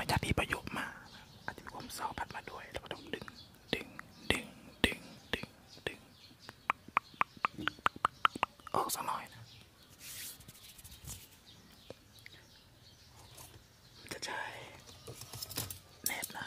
ระยะที่ประโยคมาอาจจะมีความเศร้าพัดมาด้วยเราก็ต้องดึงดึงดึงดึงดึงดึงออกสักหน่อยนะจะใช้แนบนะ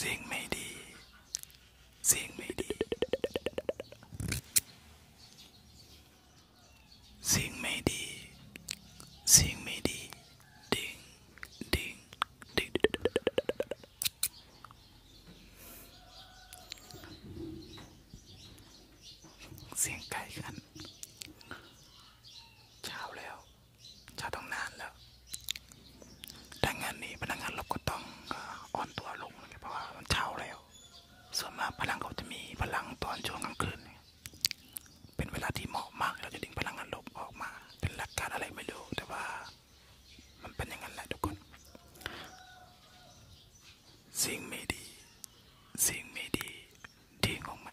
สิ่งไม่ดีสิ่งไม่ดีสิ่งไม่ดีสิ่งไม่ดี ดิ่งดิ่งดิ่งเสียงไก่กันเช้าแล้วจะต้องนานแล้วดังงานนี้พนักงานเรก็ต้องอ่อนตัวลงเพราะว่ามันเช้าแล้ว ส่วนมากพลังเขาจะมีพลังตอนช่วงกลางคืนเป็นเวลาที่เหมาะมากเราจะดึงพลังงานลบออกมาเป็นหลการอะไรไม่รู้แต่ว่ามันเป็นย่งนันะทุกคนสิ่งไม่ดีสิ่งไม่ดีทิ้งงไหม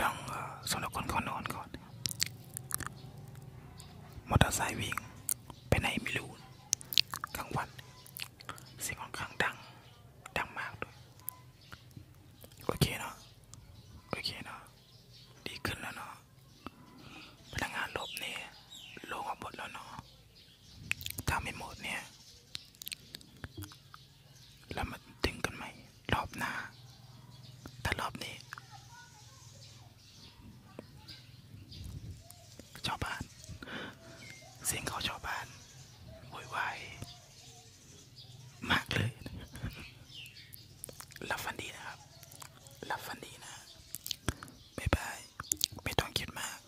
ต้องสำหรับคนเขานอนก่อนมอเตอร์ไซค์วิ่งไปไหนไม่รู้ กลางวันเสียงค่อนข้างดังดังมากด้วย โอเคเนาะโอเคเนาะดีขึ้นแล้วเนาะพนักงานลบเนี่ยลงออกหมดแล้วเนาะถ้าไม่หมดเนี่ยแล้วมาถึงกันใหม่รอบหน้าแต่รอบนี้ชาวบ้าน เสียงเขาชาวบ้านโวยวายมากเลย รับฟันดีนะครับรับฟันดีนะ บ๊ายบายไม่ต้องคิดมาก